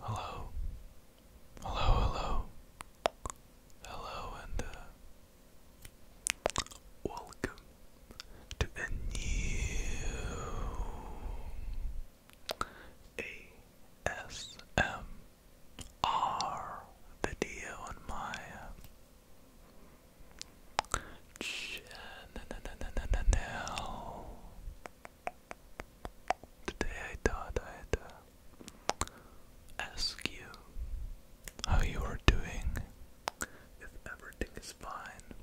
Hello, hello, hello, hello, and uh, welcome to a new ASMR R video on my channel. Uh, Today I thought I'd ask you how you are doing, if everything is fine.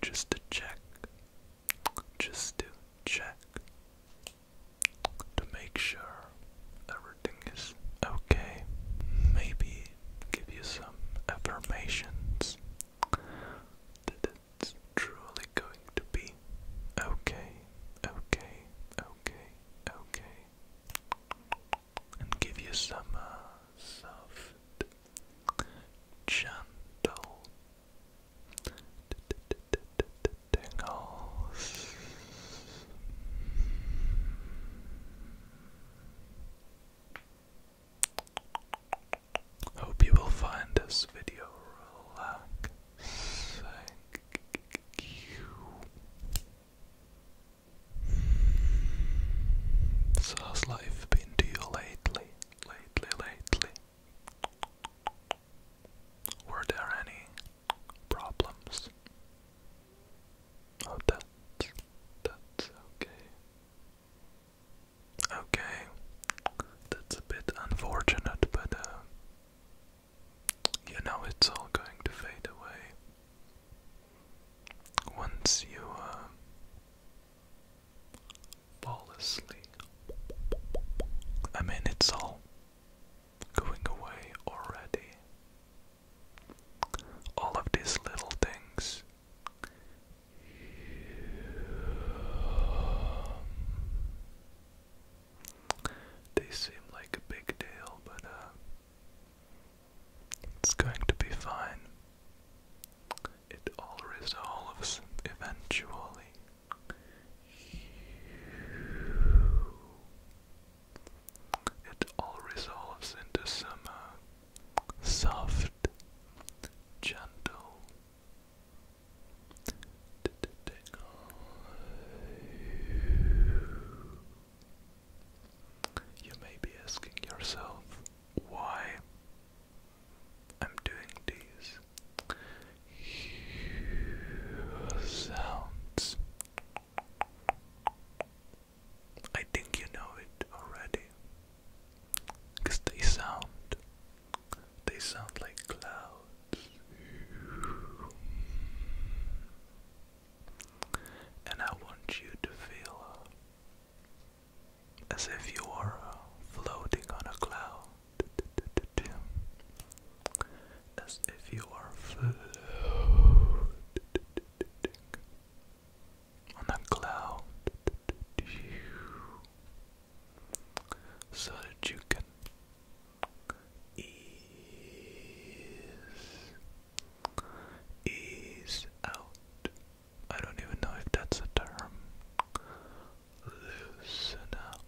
Just to check, just to check, to make sure everything is okay. Maybe give you some affirmations that it's truly going to be okay, okay, okay, okay. And give you some uh, soft, gentle, Hope you will find this video relaxing. So how's life been to you lately? Lately, lately. Were there any problems? Oh, that's, that's okay. Okay, that's a bit unfortunate, but uh, you it's all going to fade away once you uh, fall asleep. I mean, it's all going away already. All of these little things. They seem like a big deal, but uh, it's going to be fine. It all resolves eventually. It all resolves into some uh, soft, gentle you may be asking yourself why I'm doing this sounds. I think you know it already. they sound. They sound like clouds. And I want you to feel as if you are uh, floating on a cloud as if you are on a cloud so that you can ease ease out. I don't even know if that's a term loosen up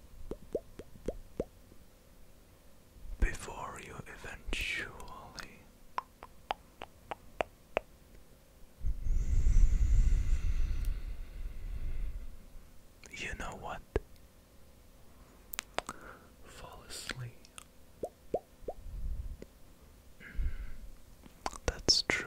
before you eventually you know what fall asleep mm, that's true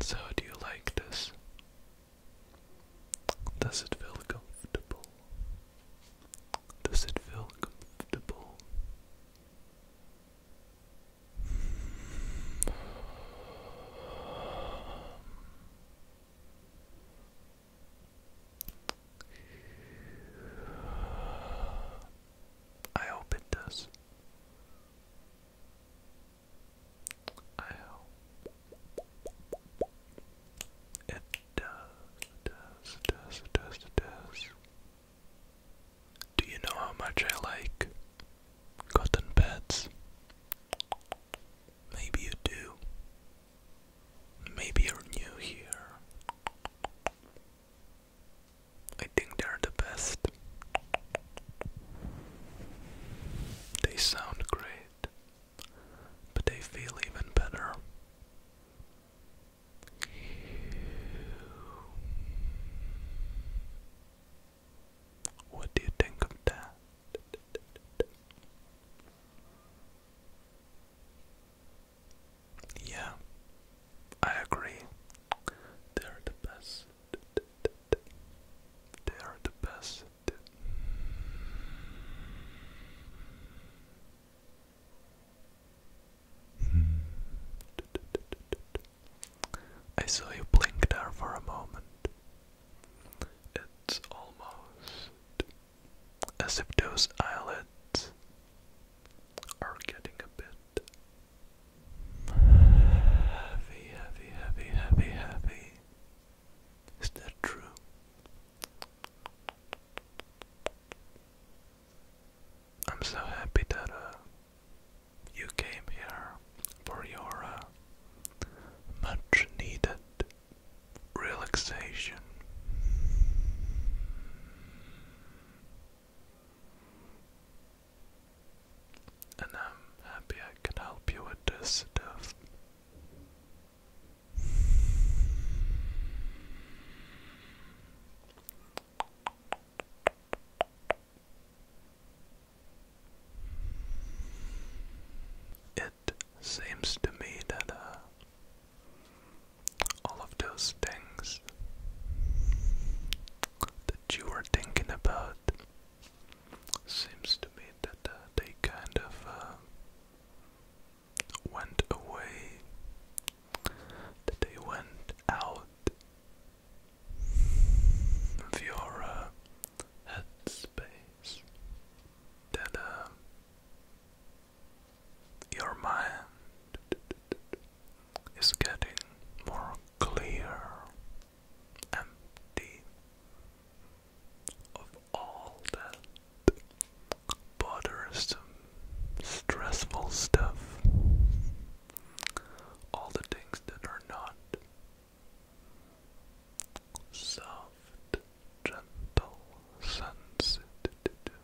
so, do you like this? Does it feel comfortable? Does it feel comfortable? I hope it does. I hope it does, does, does, does, does. Do you know how much I like cotton beds? Maybe you do. Maybe you're new here. I think they're the best. They sound great, but they feel even better. What do you think of that? Yeah, I agree. They're the best. They're the best. I saw you blink there for a moment. It's almost as if those eyelids are getting a bit heavy, heavy, heavy, heavy, heavy. Is that true? I'm so happy that uh, you came here for your uh, much needed relaxation. And I'm happy I can help you with this stuff. It seems to me that uh, all of those things that you were thinking about seems to me that uh, they kind of uh, went away, that they went out of your uh, headspace, that um, your mind is getting more clear, empty of all that bothersome, stressful stuff, all the things that are not soft, gentle sunset tingle.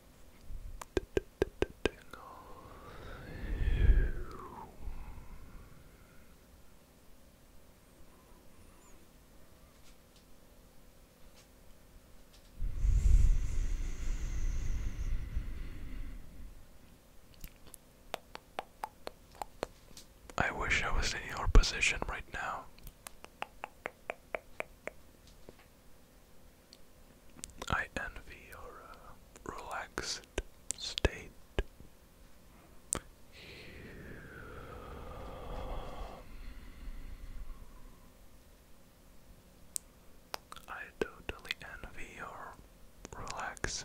I wish I was in your position right now. I envy your uh, relaxed state. I totally envy your relaxed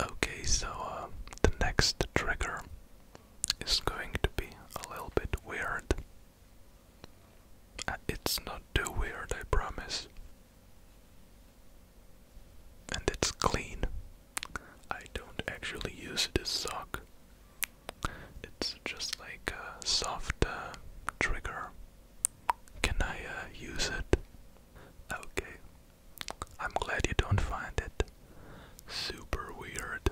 Okay, so uh, the next trigger is going to be a little bit weird. Uh, it's not too weird, I promise. And it's clean. I don't actually use this sock. It's just like a soft uh, trigger. Can I use it? Okay, I'm glad you don't find it super weird.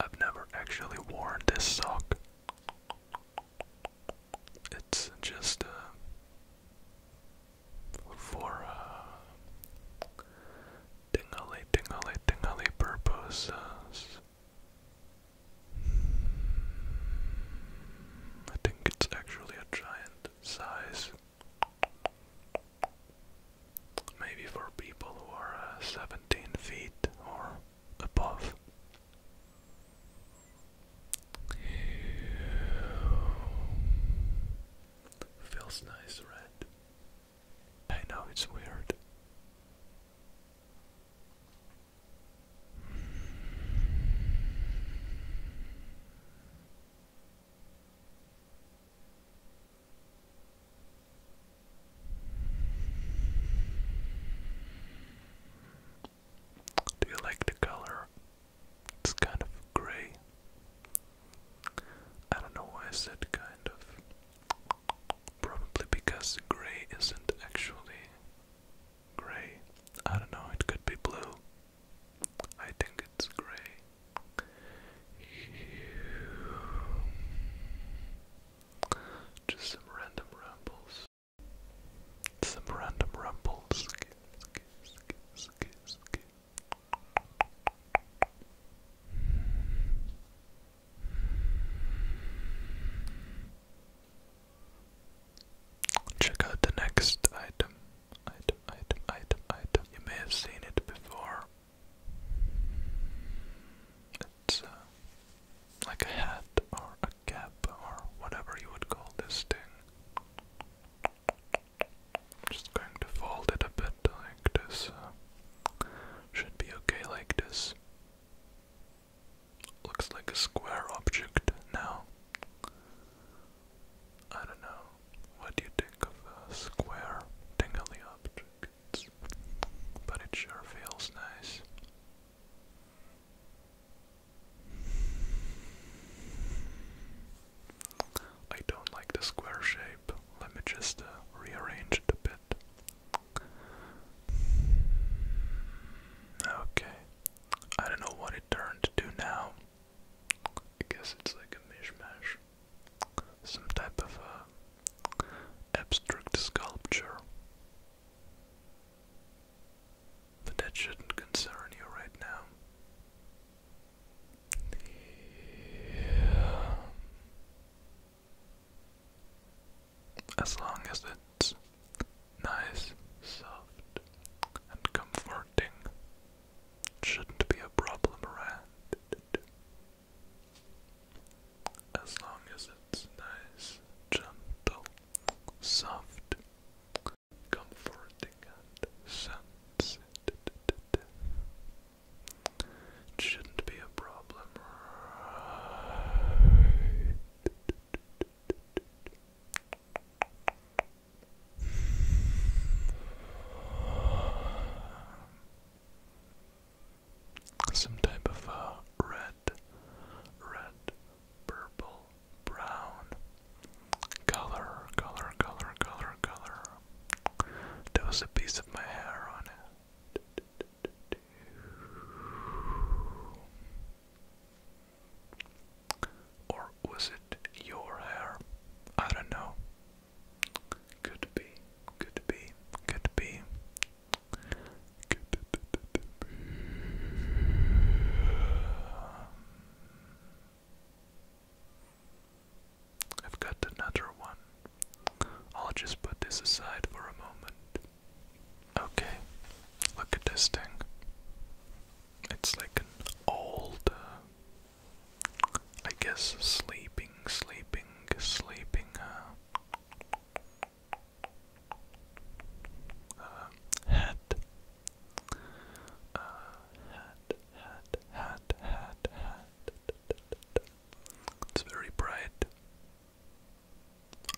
I've never actually worn this sock. It's just uh, for uh, tingly, tingly, purposes. I think it's actually a giant size. Maybe for people who are uh, 17 feet or above. Feels nice, right? I know it's weird. Do you like the color? It's kind of gray. I don't know why I said kind of. Probably because gray isn't actually gray. I don't know, it could be blue. I think it's gray. Just some random rumbles. Some random rumbles. Check out the next item. Item, item, item, item. You may have seen it before. It's uh, like a hat or a cap or whatever you would call this thing. Just going to fold it a bit like this. Uh, should be okay like this. Looks like a square object now. I don't know. What do you think of a square tingly object? But it sure feels nice. I don't like the square shape. Let me just uh, rearrange it a bit. Okay. I don't know what it turned to now. I guess it's like a mishmash. Some type of uh, abstract sculpture. But that shouldn't concern you right now. As long as it's nice, soft, and comforting, shouldn't be a problem As long as it's nice, gentle, soft, comforting, and sensitive, shouldn't be a problem some type of uh, red, red, purple, brown color, color, color, color, color. There was a piece of my hair on it. Or was it your hair? I don't know. Could be, could be, could be. I've got another one. I'll just put this aside for a moment. Okay, look at this thing. It's like an old, uh, I guess, sleeping, sleeping, sleeping uh, uh, hat. hat, hat, hat, hat, hat. It's very bright.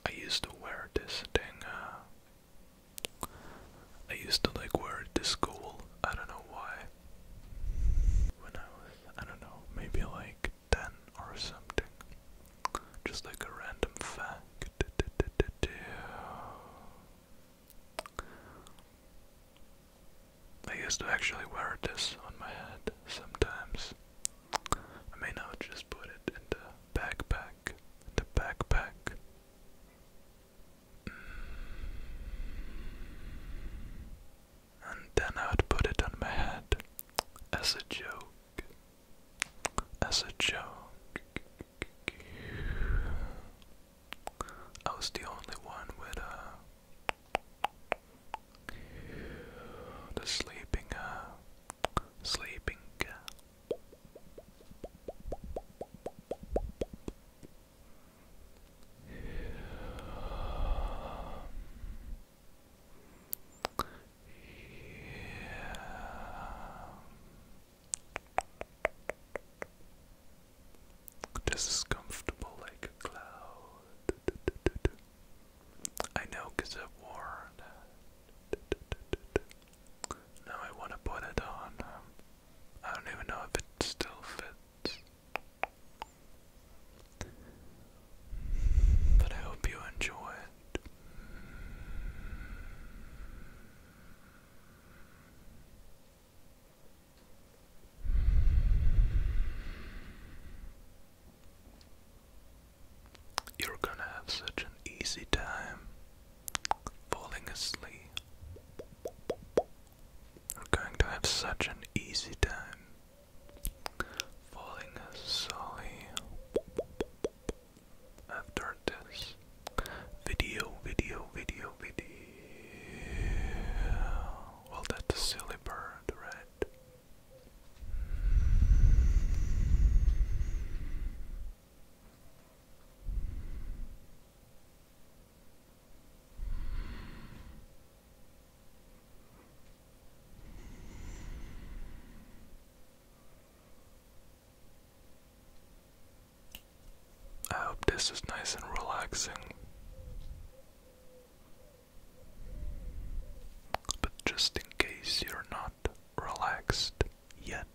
I used to wear this thing, uh, I used to like wear it to school, I don't know why. When I was, I don't know, maybe like 10 or something. Just like a random fact. I used to actually wear this on my head sometimes. I may not just put it into backpack, into backpack. Mm. And then I would put it on my head as a joke, as a joke. I was the only one with a the sleeping, uh, sleeping. Yeah. This is comfortable like a cloud. I know because of Now I want to put it on. Um, I don't even know if it still fits. But I hope you enjoy it. You're gonna have such an easy time falling asleep. You're going to have such an easy time falling asleep after this video, video, video, video. Well, that's a silly bird, right? I hope this is nice and relaxing. But just in case you're not relaxed yet,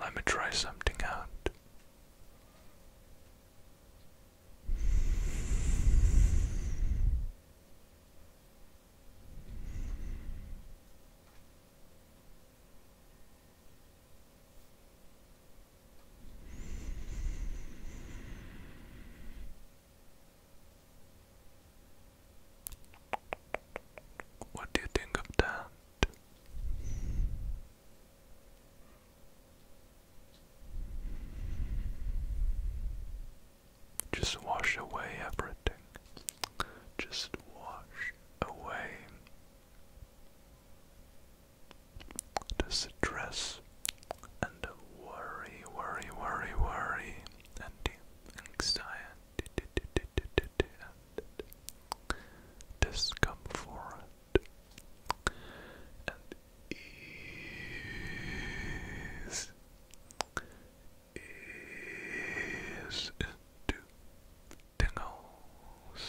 let me try something out. What do you think of that? Just wash away everything. Just wash away to stress and worry, worry, worry, worry, and anxiety, and discomfort, and ease, ease into tingles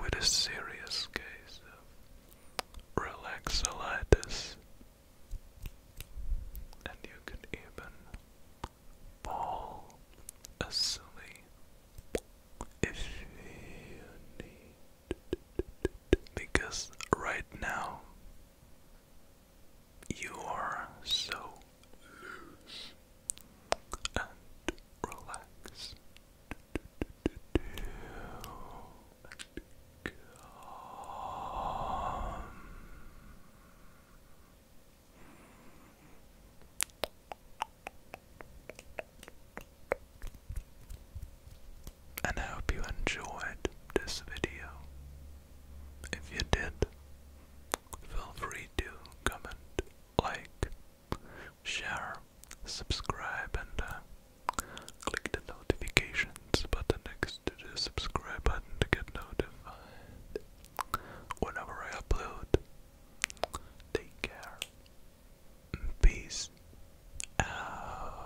with a serious case of relaxolitis, and you could even fall asleep if you need, because right now you are so loose and relax. And And I hope you enjoyed this video. If you did, feel free to comment, like, share, subscribe, and uh, click the notifications button next to the subscribe button to get notified whenever I upload. Take care. Peace out.